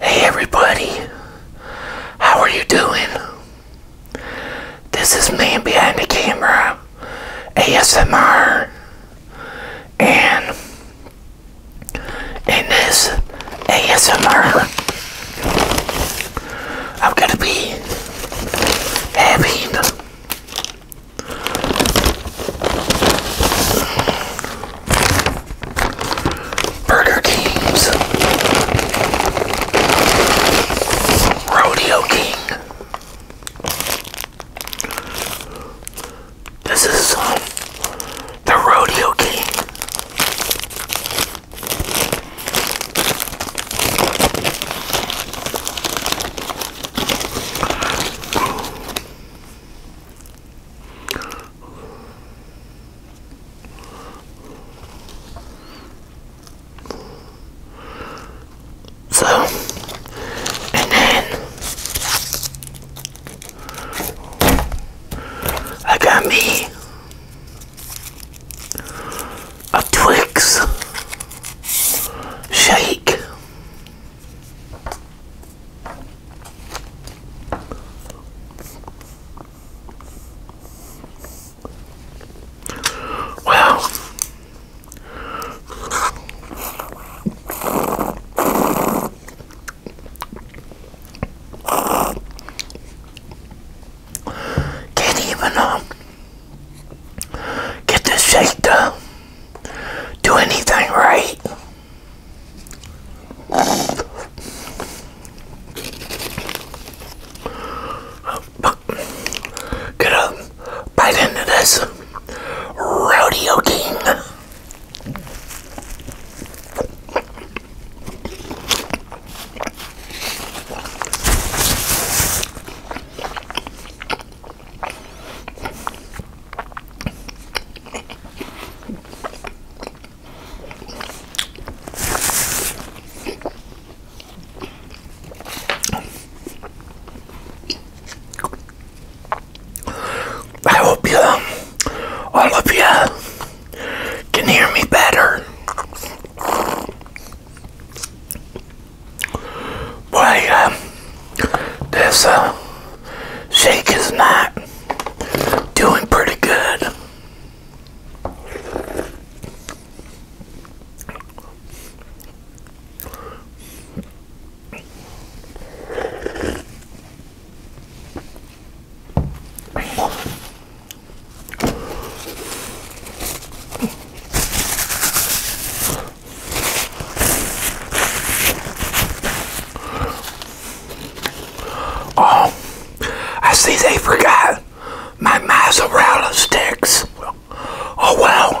Hey everybody, how are you doing? This is Man Behind the Camera ASMR and in this ASMR I'm gonna be happy. Burger Kings, Rodeo King. This is um, the Rodeo King. So, and then I got me a Twix shake. Wow! can't even um, get the shake do anything right. Gonna bite into this rodeo king. I hope you, all of you, can hear me better. Why, uh, this, uh, Shake is not doing pretty good. Oh, I see they forgot my mozzarella sticks. Oh well.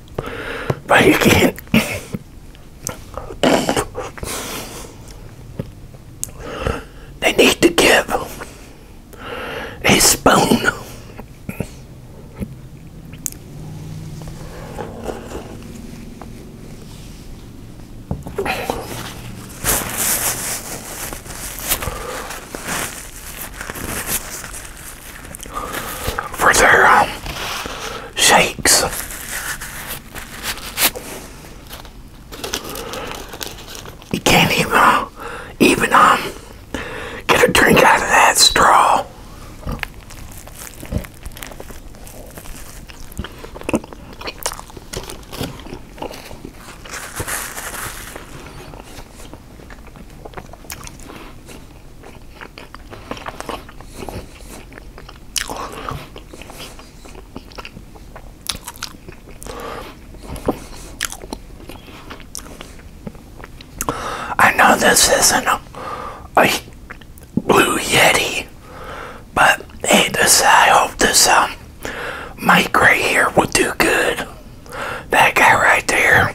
but you can't. they need to give a spoon for their um, shakes. You can't even uh, even um get a drink out of that straw. I know this isn't a, blue yeti, but hey, I hope this um mic right here will do good. That guy right there.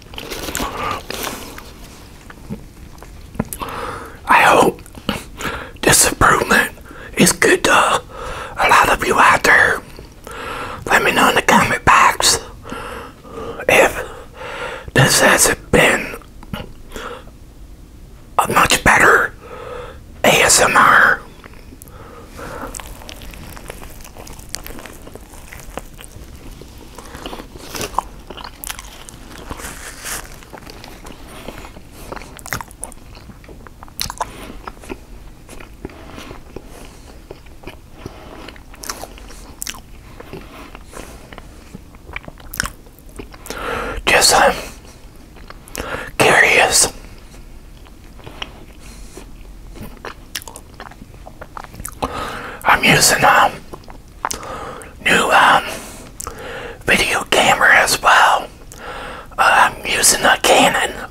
I hope this is good to a lot of you out there. Let me know in the comment box if this has been a much better ASMR. Just curious. I'm using them. Um, new um, video camera as well. Uh, I'm using a Canon.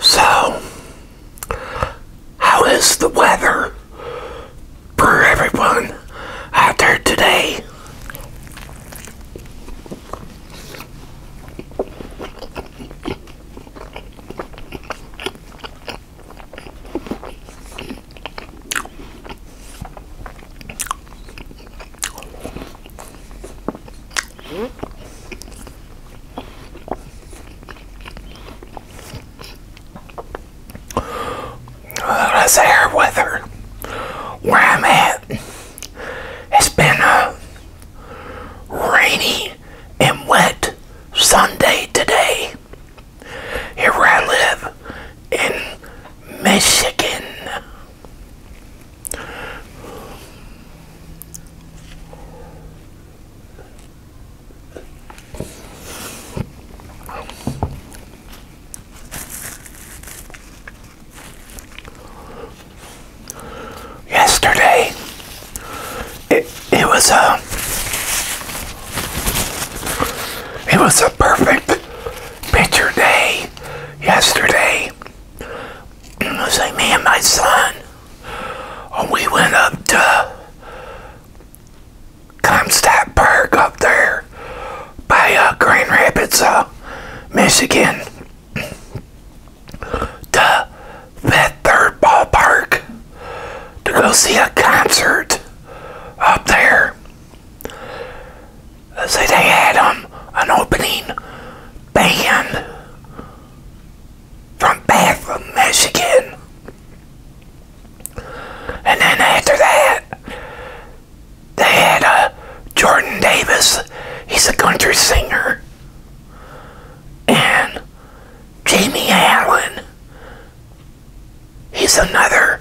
So, how is the weather for everyone out there today? Let's air with where I'm at. It's been a rainy and wet Sunday today. Here where I live in Michigan. Yesterday, it, it was a it was a perfect picture day yesterday. It was like me and my son. We went up to Comstock Park up there by uh, Grand Rapids, uh, Michigan. To that third ballpark to go see a concert up there. So they had um, an opening band from Bath, Michigan. And then after that, they had uh, Jordan Davis. He's a country singer. And Jamie Allen. He's another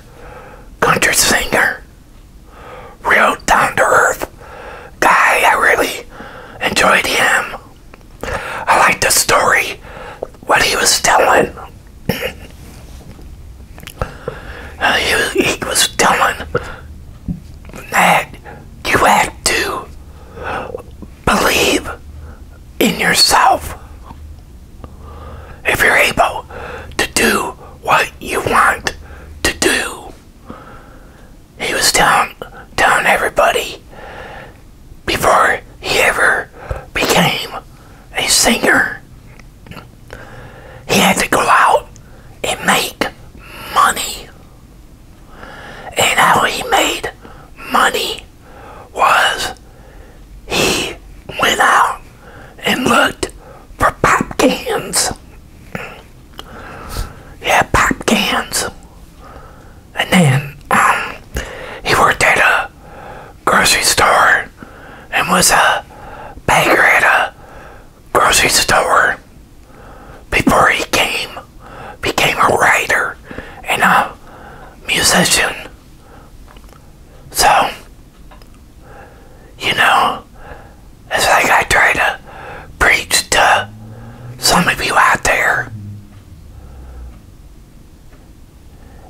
country singer real down to earth guy. I really enjoyed him. I liked the story, what he was telling. uh, he was telling that you have to believe in yourself. If you're able to do what you want to do. He was telling, telling everybody before he ever became a singer, he had to go out and make money. And how he made money was he went out and looked for pop cans. Yeah, pop cans. And then um, he worked at a grocery store and was a baker at a grocery store before he came, became a writer and a musician. So, you know, it's like I try to preach to some of you out there.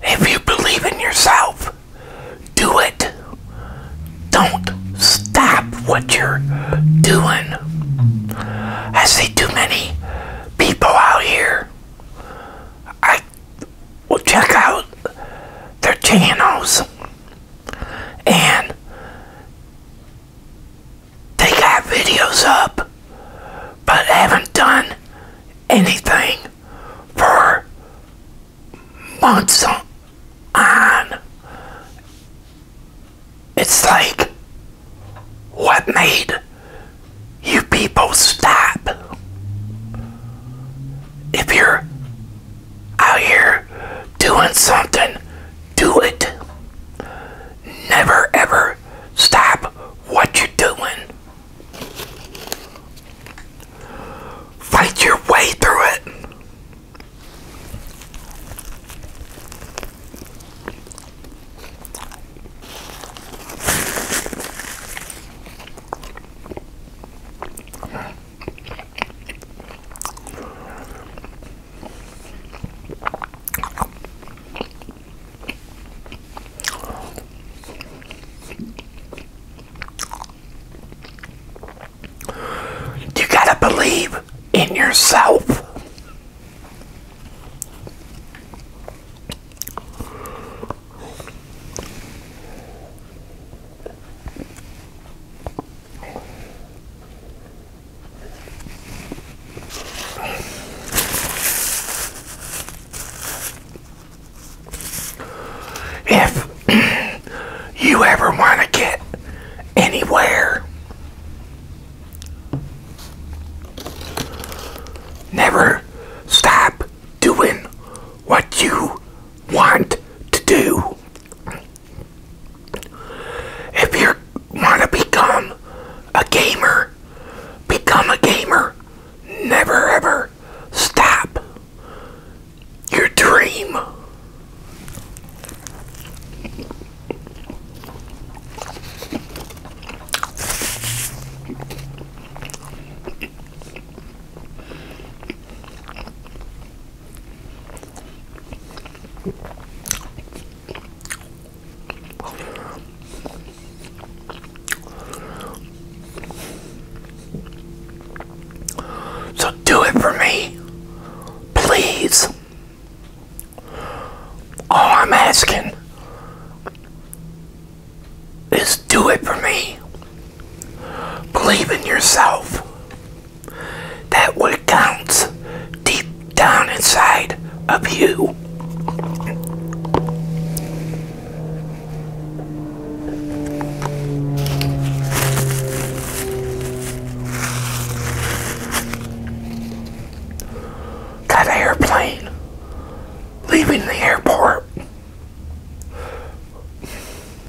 If you believe in yourself, do it. Don't stop what you're doing. I see too many people out here. I well, check out their channels. And they got videos up, but haven't done anything for months on. It's like what made you people stop? If you're out here doing something, do it. Never ever stop what you're doing. Fight your way through it. You gotta believe in yourself. If you ever want to get anywhere, never stop doing what you want to do. If you want to become a gamer, become a gamer. Never ever stop your dream. So do it for me, please. All I'm asking is do it for me. Believe in yourself. That what counts deep down inside of you. Got airplane leaving the airport.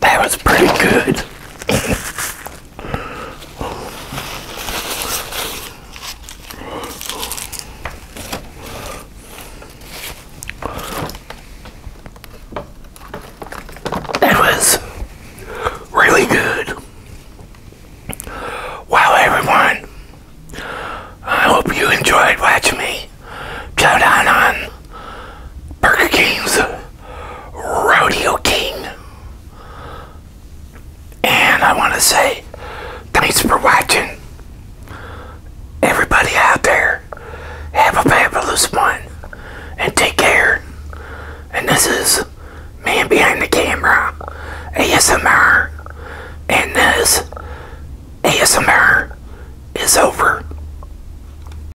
That was pretty good. That was really good. Wow, everyone. I hope you enjoyed watching me chow down on Burger King's Rodeo King. And I want to say thanks for watching. Everybody out there, have a fabulous one. And take care. And this is Man Behind the Camera, ASMR. And this ASMR is over.